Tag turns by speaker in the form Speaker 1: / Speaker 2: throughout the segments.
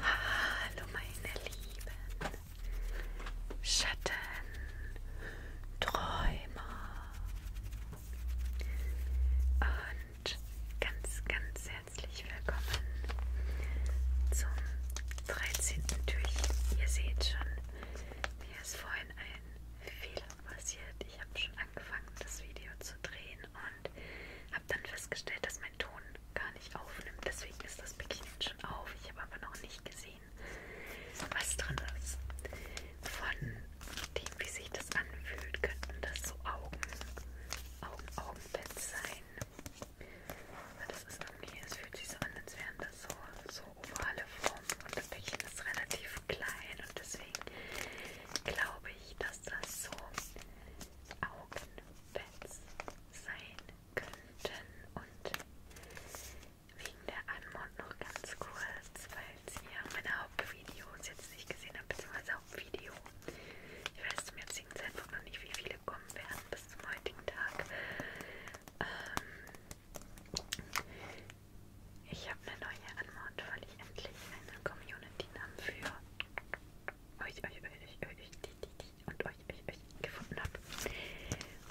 Speaker 1: Hallo meine Lieben, Schatten, Träumer und ganz, ganz herzlich willkommen zum 13. Türchen. Ihr seht schon, mir ist vorhin ein Fehler passiert. Ich habe schon angefangen, das Video zu drehen und habe dann festgestellt, dass mein Ton gar nicht aufnimmt. Deswegen ist das Päckchen schon auf. Ich habe aber noch nicht gesehen, was drin ist. Von dem, wie sich das anfühlt, könnten das so Augen, Augen, Augenbett sein. Aber das ist irgendwie, es fühlt sich so an, als wären das so, so ovale Formen und das Päckchen ist relativ klein und deswegen glaube ich, dass das so Augenpads sein könnten und wegen der Anmod noch ganz kurz, falls ihr meine Hauptvideos jetzt nicht gesehen habt, beziehungsweise Video. Ich weiß zum jetzigen Zeitpunkt noch nicht, wie viele kommen werden bis zum heutigen Tag. Ähm, ich habe eine neue Anmod, weil ich endlich eine Community-Namen für euch, euch, euch, euch, die, die, die und euch, euch, euch gefunden habe.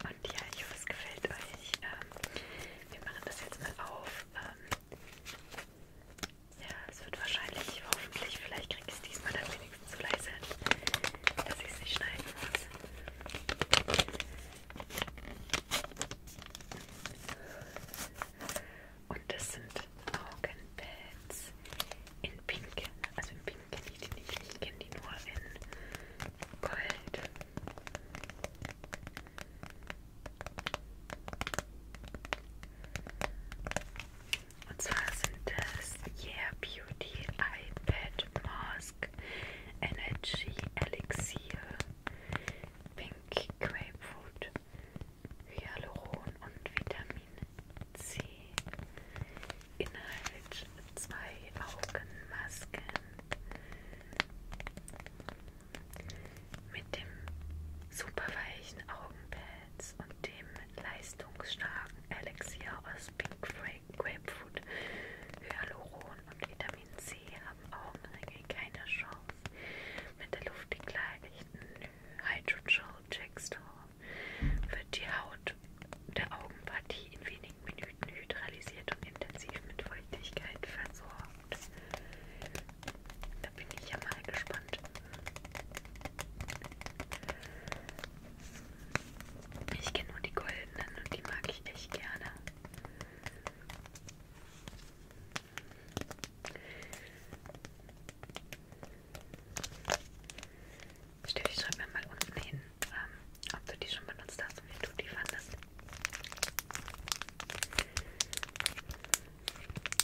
Speaker 1: Und ja, ich hoffe, es gefällt euch. Ähm, wir machen das jetzt mal auf. Ähm, ja, es wird wahrscheinlich, hoffentlich, vielleicht kriege ich es diesmal dann wenigstens so leise, dass ich es nicht schneiden muss. Und das sind Augenpads in Pink. Also in Pink kenne ich die nicht, ich kenne die nur in Gold. Und zwar sind es Yeah Beauty iPad Mask Energy Elixir Pink Grapefruit Hyaluron und Vitamin C. Inhalt zwei Augenmasken mit dem super weichen Augenpad. Hotels und dem leistungsstarken Elixier aus Pink Grapefruit, Hyaluron und Vitamin C haben Augenringe keine Chance. Mit der luftig leichten Hydrogel Jackstore wird die Haut der Augenpartie in wenigen Minuten hydralisiert und intensiv mit Feuchtigkeit versorgt. Da bin ich ja mal gespannt. Ich kenne nur die goldenen und die mag ich echt gerne. Steffi, schreib mir mal unten hin, ähm, ob du die schon benutzt hast und wie du die fandest.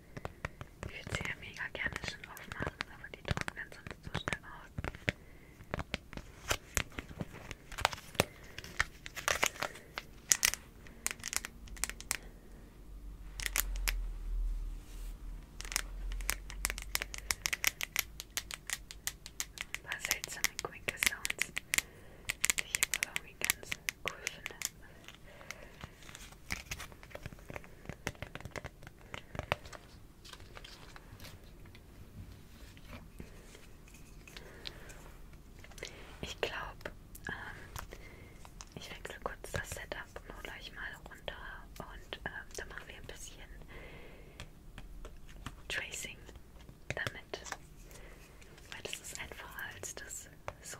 Speaker 1: Ich würde sie ja mega gerne schon aufmachen, aber die trocknen sonst so schnell aus. Ein paar seltsame Quick Sounds, die ich aber irgendwie ganz cool finde. Ich glaube, ähm, ich wechsle kurz das Setup nur gleich mal runter und ähm, dann machen wir ein bisschen Tracing damit, weil das ist einfacher als das so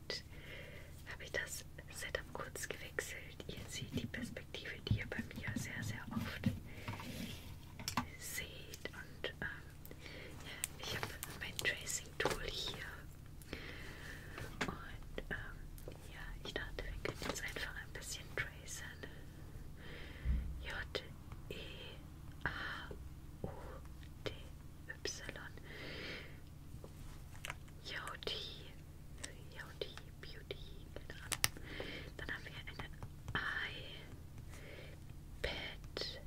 Speaker 1: habe ich das Setup kurz gewechselt. Ihr seht die Perspektive, die ihr bei mir sehr, sehr oft seht. Und ähm, ja, ich habe mein Tracing-Tool hier. Und ähm, ja, ich dachte, wir können jetzt einfach ein bisschen tracen. J, E, A, U, D, Y. Yoti, Yoti, Beauty, keine Ahnung. Dann haben wir einen Eye-Pad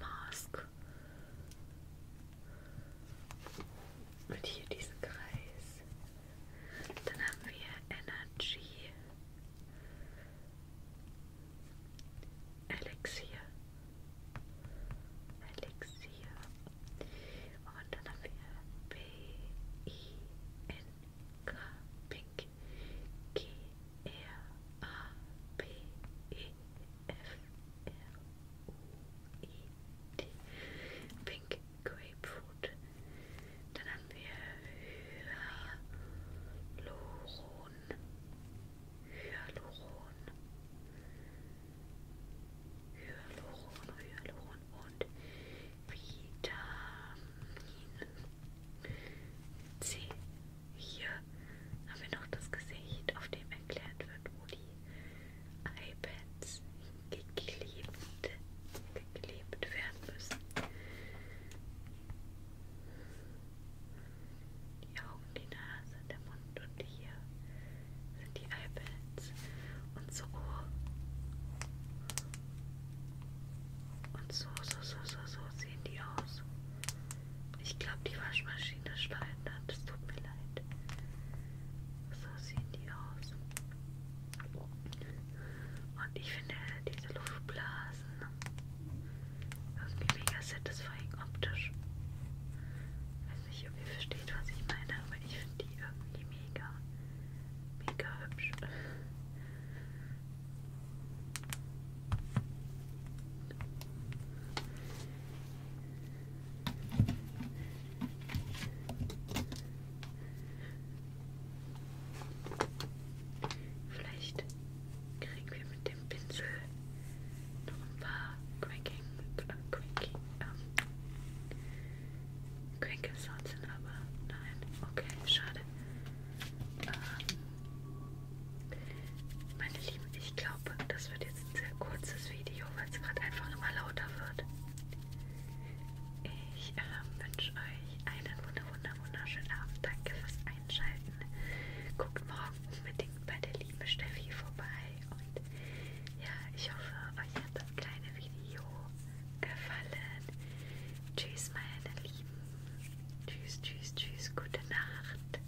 Speaker 1: Mask. Und hier diesen Kreis. Dann haben wir Energy Elixir. Alexia Ondanavia B E N K Pink Grapefruit. Dann Hyaluron. Hyaluron. Hyaluron, Hyaluron und Vitamin C. Hier haben wir noch das Gesicht, auf dem erklärt wird, wo die iPads geklebt, geklebt werden müssen die Augen, die Nase, der Mund und hier sind die Eyeballs und so Ohr. Und so, so, so, so, so sehen die aus. Ich glaube, die Waschmaschine schleudert. Es tut mir leid. So sehen die aus. Und ich finde diese Luftblasen irgendwie mega satisfying optisch. Ich weiß nicht, ob ihr versteht, was ich meine, aber ich finde die irgendwie mega, mega hübsch. Vielleicht kriegen wir mit dem dem Pinsel noch ein paar Cranking, äh, Cranky, ähm, Cranking Sounds hin, aber nein, okay, schade. Ähm, meine Lieben, ich glaube, das wird jetzt ein sehr kurzes Video, weil es gerade einfach immer lauter wird. Ich ähm, wünsche euch einen wunder, wunder, wunderschönen Abend. Danke fürs Einschalten. Guckt morgen unbedingt bei der liebe Steffi vorbei und ja, ich hoffe, euch hat das kleine Video gefallen. Tschüss, meine Lieben. Tschüss, tschüss, tschüss. Gute Nacht.